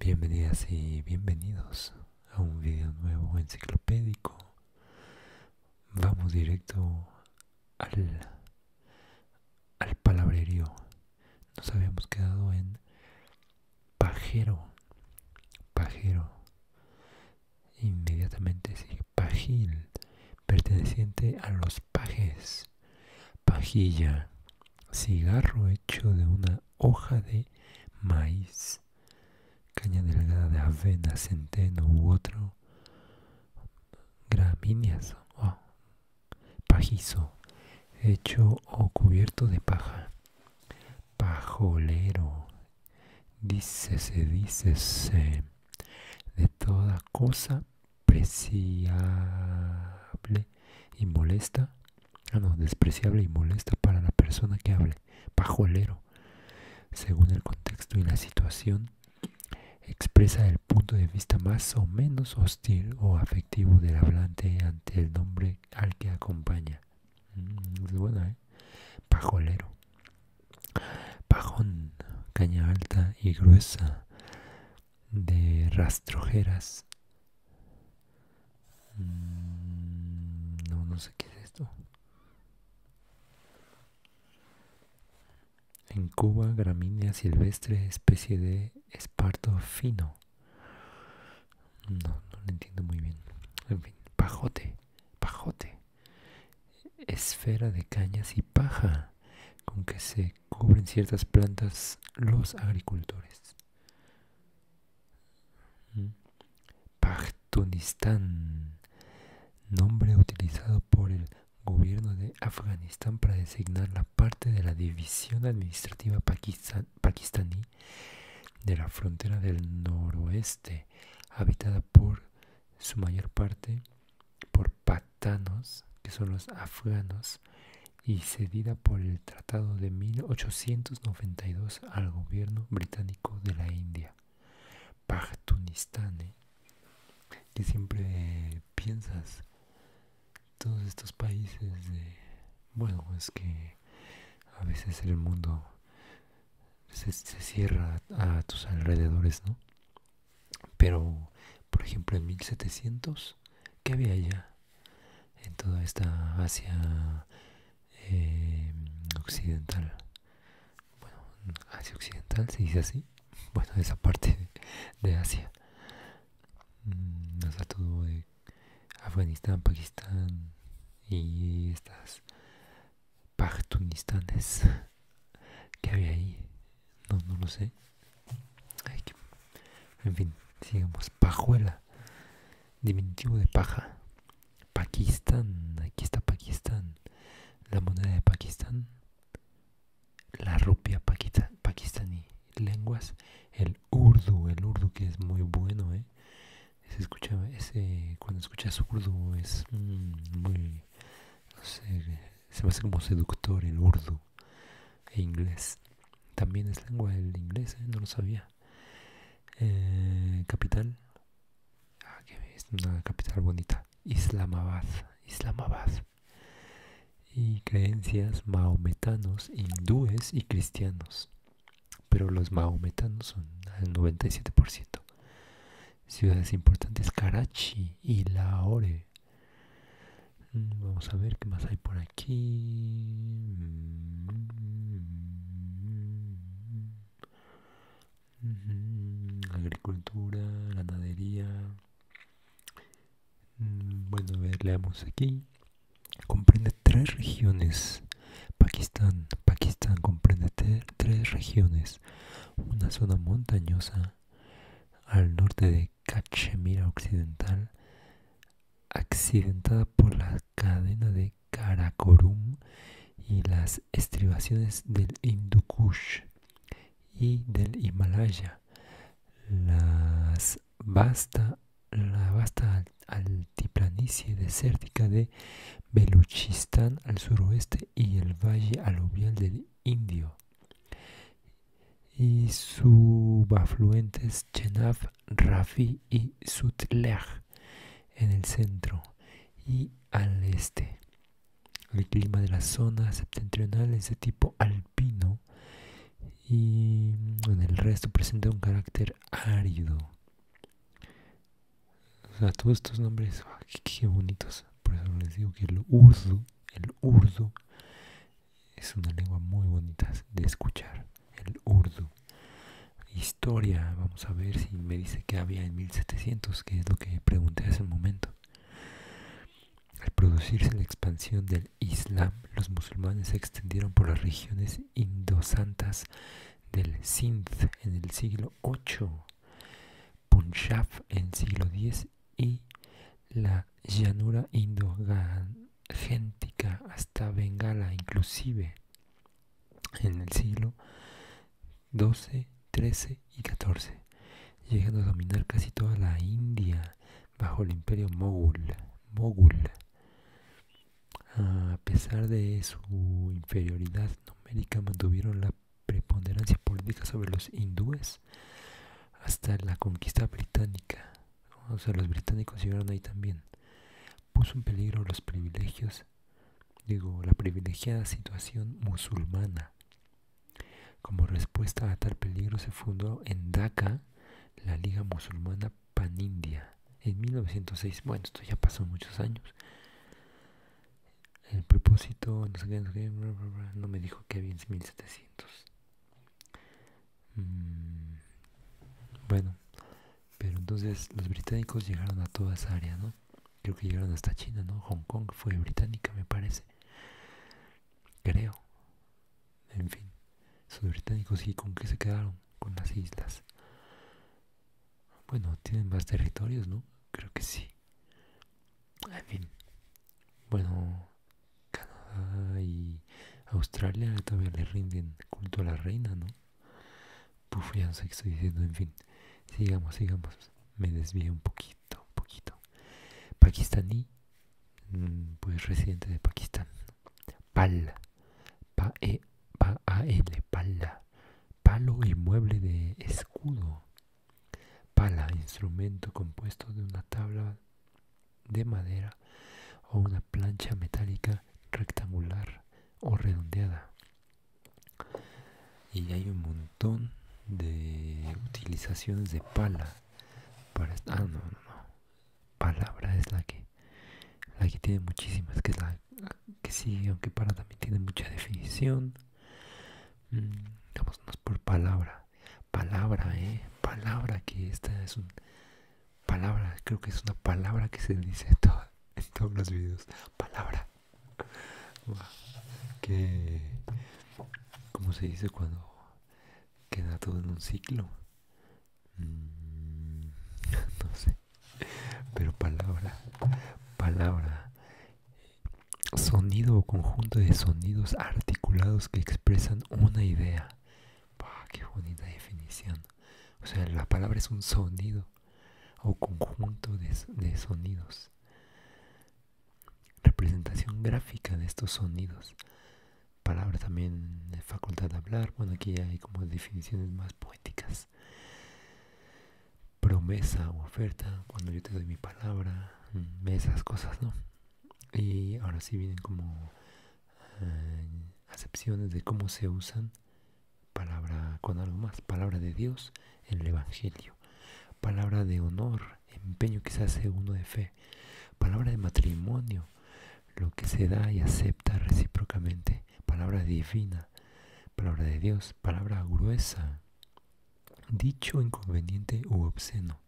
Bienvenidas y bienvenidos a un video nuevo enciclopédico. Vamos directo al, al palabrerío. Nos habíamos quedado en pajero, pajero. Inmediatamente sigue pajil, perteneciente a los pajes. Pajilla, cigarro hecho de una hoja de maíz caña delgada de avena, centeno u otro, gramíneas oh, pajizo, hecho o cubierto de paja, pajolero, dícese, dícese, de toda cosa preciable y molesta Ah, no, despreciable y molesta para la persona que hable, pajolero. Según el contexto y la situación, expresa el punto de vista más o menos hostil o afectivo del hablante ante el nombre al que acompaña. Mm, ¿eh? Pajolero. Pajón, caña alta y gruesa, de rastrojeras Mm, no, no sé qué es esto. En Cuba, gramínea silvestre, especie de esparto fino. No, no lo entiendo muy bien. En fin, pajote, pajote. Esfera de cañas y paja con que se cubren ciertas plantas los agricultores. Pachtunistán, nombre utilizado por el gobierno de Afganistán para designar la parte de la división administrativa pakistaní de la frontera del noroeste, habitada por su mayor parte por patanos, que son los afganos, y cedida por el Tratado de 1892 al gobierno británico de la India. Pachtunistán, ¿eh? que siempre piensas todos estos países de bueno es que a veces el mundo se, se, cierra a tus alrededores no pero por ejemplo en 1700 qué había allá en toda esta Asia eh, occidental. Bueno, Asia occidental se dice así. Bueno, esa parte de, Asia. Mm, o todo de Afganistán, Pakistán y estas Paktunistanes que había ahí. No, no lo sé. En fin, sigamos. Pajuela. Diminutivo de paja. Pakistán. Aquí está Pakistán. La moneda de Pakistán. La rupia Pakistán y Lenguas. El urdu. El urdu que es muy bueno, ¿eh? ese, cuando escuchas urdu es mm, muy... No sé, se me hace como seductor el urdu. E inglés. También es lengua del inglés, ¿eh? no lo sabía. Eh, capital. Ah, es una capital bonita. Islamabad. Islamabad. Y creencias maometanos, hindúes y cristianos. Pero los maometanos son al 97%. Ciudades importantes, Karachi y Lahore. Mm, vamos a ver qué más hay por aquí. Mm, mm, agricultura, ganadería. Bueno, a aquí. Comprende tres regiones. Pakistán. Pakistán comprende tres regiones. Una zona montañosa al norte de Cachemira Occidental, accidentada por la cadena de Karakorum y las estribaciones del Hindu Kush y del Himalaya. Las la vasta altiplanicie desértica de Beluchistán al suroeste y el valle aluvial del Indio y subafluentes Chenab, Rafi y Sutlej en el centro y al este. El clima de la zona septentrional es de tipo alpino y mm, en el resto presenta un carácter árido. O sea, todos estos nombres, ah, qué, bonitos. Por eso les digo que el urdu, el urdu es una lengua muy bonita de escuchar, el urdu. Historia, vamos a ver si me dice que había en 1700, que es lo que pregunté hace un momento. Al producirse la expansión del Islam, los musulmanes se extendieron por las regiones indosantas del Sindh en el siglo VIII, Punjab en el siglo X y la llanura indogéntica hasta Bengala inclusive en el siglo XII, XIII y XIV, llegando a dominar casi toda la India bajo el imperio mogul. mogul. A pesar de su inferioridad numérica, mantuvieron la preponderancia política sobre los hindúes hasta la conquista británica. O sea, los británicos llegaron ahí también. Puso en peligro los privilegios, digo, la privilegiada situación musulmana. Como respuesta a tal peligro se fundó en Dhaka la Liga Musulmana Pan India en 1906. Bueno, esto ya pasó muchos años. El propósito, no, me dijo que había 1700. Mm, bueno, pero entonces los británicos llegaron a toda esa área, ¿no? Creo que llegaron hasta China, ¿no? Hong Kong fue británica, me parece. Creo. En fin, esos británicos y con qué se quedaron con las islas. Bueno, tienen más territorios, ¿no? Creo que sí. En fin. Bueno, Canadá y Australia todavía le rinden culto a la reina, ¿no? Puf, pues ya no sé qué estoy diciendo. En fin, sigamos, sigamos. Me desvío un poquito, un poquito. Pakistaní, mm, pues residente de Pakistán. Pal. pa e Pa-A-L. Palo y mueble de escudo. Pala, instrumento compuesto de una tabla de madera o una plancha metálica rectangular o redondeada. Y hay un montón de utilizaciones de pala. Para ah, no, no, no. Palabra es la que, la que tiene muchísimas, que es la, que sigue, aunque para también tiene mucha definición vámonos mm, por palabra palabra eh palabra que esta es un palabra creo que es una palabra que se dice en, todos los videos palabra que como se dice cuando queda todo en un ciclo mm, no sé pero palabra palabra sonido o conjunto de sonidos articulados que expresan una idea. ¡Qué bonita definición! O sea, la palabra es un sonido o conjunto de, sonidos. Representación gráfica de estos sonidos. Palabra también, de facultad de hablar. Bueno, aquí hay como definiciones más poéticas promesa o oferta, cuando yo te doy mi palabra, mm, esas cosas, ¿no? Y ahora sí vienen como eh, acepciones de cómo se usan palabra con algo más, palabra de Dios en el Evangelio, palabra de honor, empeño quizás se de fe, palabra de matrimonio, lo que se da y acepta recíprocamente, palabra divina, palabra de Dios, palabra gruesa, dicho inconveniente u obsceno.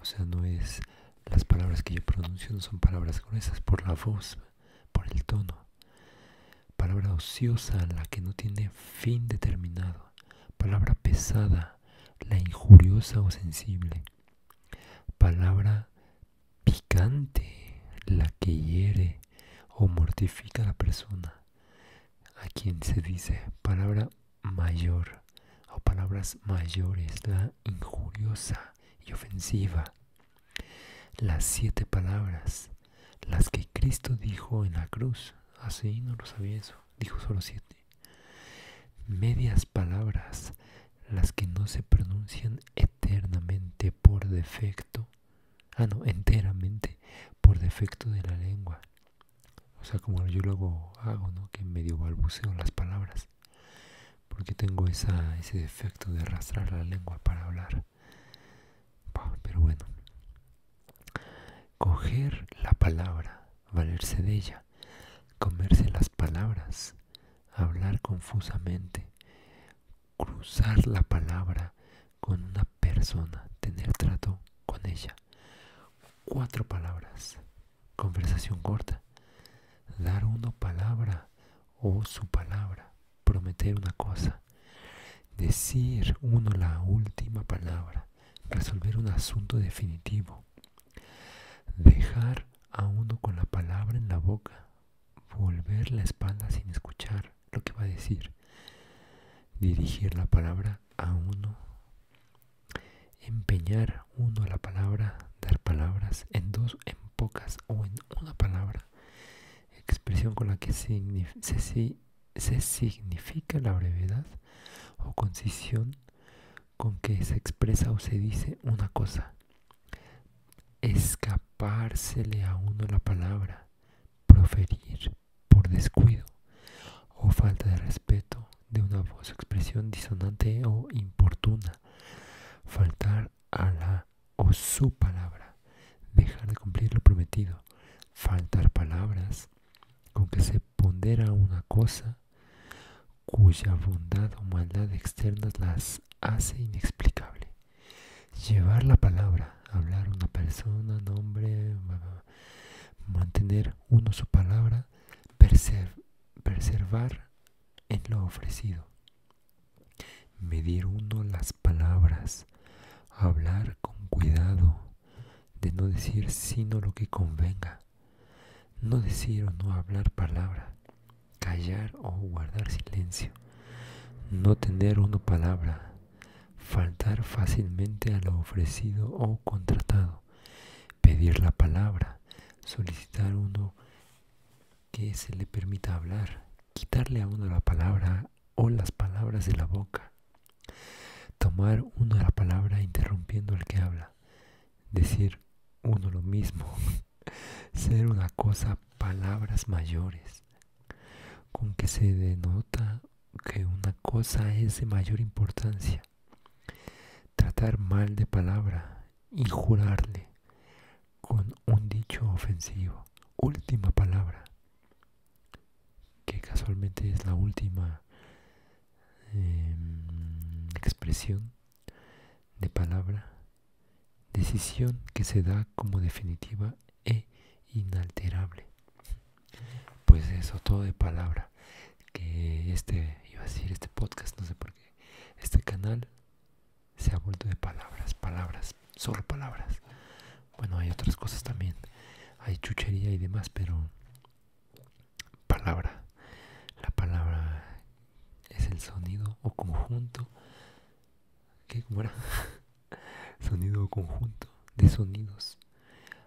O sea, no es las palabras que yo pronuncio, no son palabras gruesas por la voz, por el tono. Palabra ociosa, la que no tiene fin determinado. Palabra pesada, la injuriosa o sensible. Palabra picante, la que hiere o mortifica a la persona a quien se dice palabra mayor o palabras mayores, la injuriosa y ofensiva. Las siete palabras, las que Cristo dijo en la cruz. Así ah, no lo sabía eso, dijo solo siete. Medias palabras, las que no se pronuncian eternamente por defecto ah no, enteramente por defecto de la lengua. O sea, como yo luego hago, ¿no? Que medio balbuceo las palabras. Porque tengo ese defecto de arrastrar la lengua para hablar. pero bueno. Coger la palabra, valerse de ella, comerse las palabras, hablar confusamente, cruzar la palabra con una persona, tener trato con ella. Cuatro palabras. Conversación corta. Dar una palabra o su palabra. Prometer una cosa. Decir uno la última palabra. Resolver un asunto definitivo. Dejar a uno con la palabra en la boca. Volver la espalda sin escuchar lo que va a decir. Dirigir la palabra a uno. Empeñar uno la palabra, dar palabras en dos, en pocas o en una palabra. Expresión con la que se, significa la brevedad o concisión con que se expresa o se dice una cosa. Escapársele a uno la palabra proferir por descuido o falta de respeto de una voz, expresión disonante o importuna, faltar a la o su palabra, dejar de cumplir lo prometido, faltar palabras con que se pondera una cosa cuya bondad o maldad externa las hace inexplicable. Llevar la palabra, hablar una persona, nombre, mantener uno su palabra, preservar en lo ofrecido. Medir uno las palabras, hablar con cuidado, de no decir sino lo que convenga, no decir o no hablar palabra, callar o guardar silencio, no tener una palabra, faltar fácilmente a lo ofrecido o contratado, pedir la palabra, solicitar uno que se le permita hablar, quitarle a uno la palabra o las palabras de la boca, tomar uno la palabra interrumpiendo al que habla, decir uno lo mismo ser una cosa palabras mayores, con que se denota que una cosa es de mayor importancia. Tratar mal de palabra, y jurarle con un dicho ofensivo. Última palabra, que casualmente es la última em, expresión de palabra decisión que se da como definitiva e inalterable. Pues eso, todo de palabra. Que este, iba a decir, este podcast, no sé por qué, este canal se ha vuelto de palabras, palabras, solo palabras. Bueno, hay otras cosas también, hay chuchería y demás, pero palabra, la palabra es el sonido o conjunto ¿Qué? ¿Cómo era? Sonido conjunto de sonidos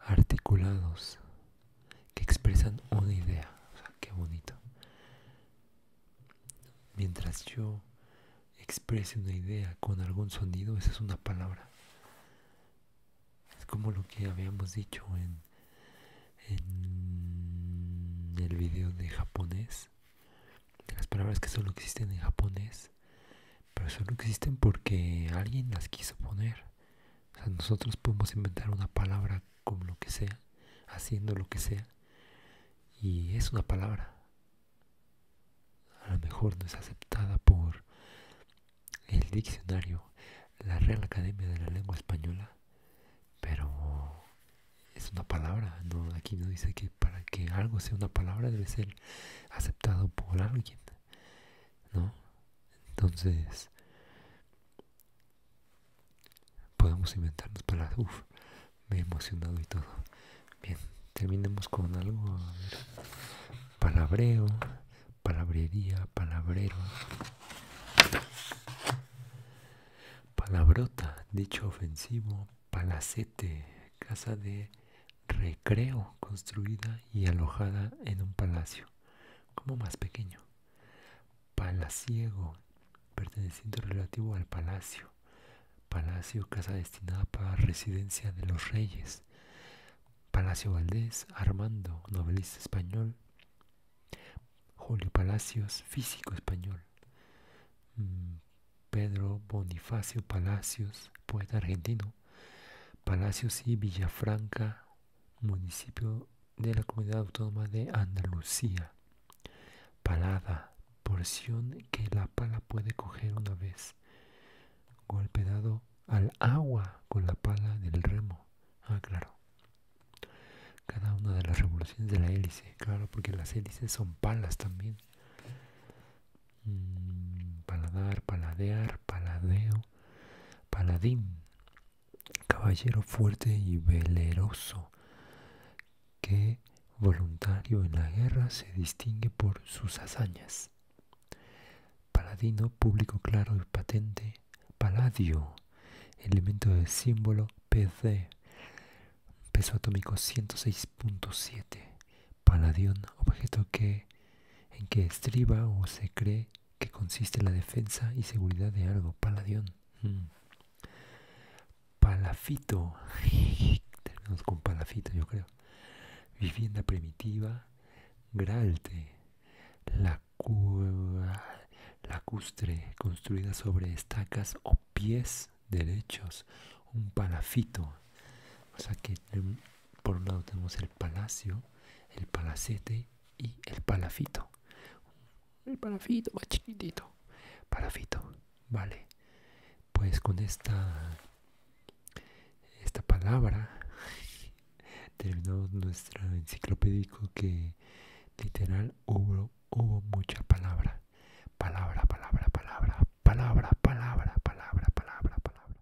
articulados que expresan una idea. qué bonito. Mientras yo exprese una idea con algún sonido, esa es una palabra. Es como lo que habíamos dicho en, en el video de japonés las palabras que solo existen en japonés, pero solo existen porque alguien las quiso poner. nosotros podemos inventar una palabra con lo que sea, haciendo lo que sea, y es una palabra. A lo mejor no es aceptada por el diccionario, la Real Academia de la Lengua Española, pero es una palabra, no aquí no dice que para que algo sea una palabra debe ser aceptado por alguien, ¿no? Entonces podemos inventarnos palabras, uff, me he emocionado y todo. Bien, terminemos con algo, palabreo, palabrería, palabrero. Palabrota, dicho ofensivo, palacete, casa de recreo construida y alojada en un palacio, como más pequeño. Palaciego, perteneciente relativo al palacio. Palacio, casa destinada para residencia de los reyes. Palacio Valdés, Armando, novelista español, Julio Palacios, físico español. Mm, Pedro Bonifacio Palacios, poeta argentino. Palacios y Villafranca, municipio de la comunidad autónoma de Andalucía. Palada, porción que la pala puede coger una vez. Golpe dado al agua con la pala del remo. Ah, claro cada una de las revoluciones de la hélice, claro, porque las hélices son palas también. Mm, paladar, paladear, paladeo, paladín, caballero fuerte y veleroso, que voluntario en la guerra se distingue por sus hazañas. Paladino, público claro y patente, paladio, elemento de símbolo Pc, peso atómico 106.7, paladión, objeto que en que estriba o se cree que consiste la defensa y seguridad de algo, paladión. Mm. Palafito, con palafito yo creo. Vivienda primitiva, gralte, la lacustre construida sobre estacas o pies derechos, un palafito. O sea que mm, por un lado tenemos el palacio, el palacete y el palafito. El palafito más chiquitito. Palafito, vale. Pues con esta, esta palabra terminamos nuestro enciclopédico que literal hubo, hubo mucha palabras, Palabra, palabra, palabra, palabra, palabra, palabra, palabra, palabra.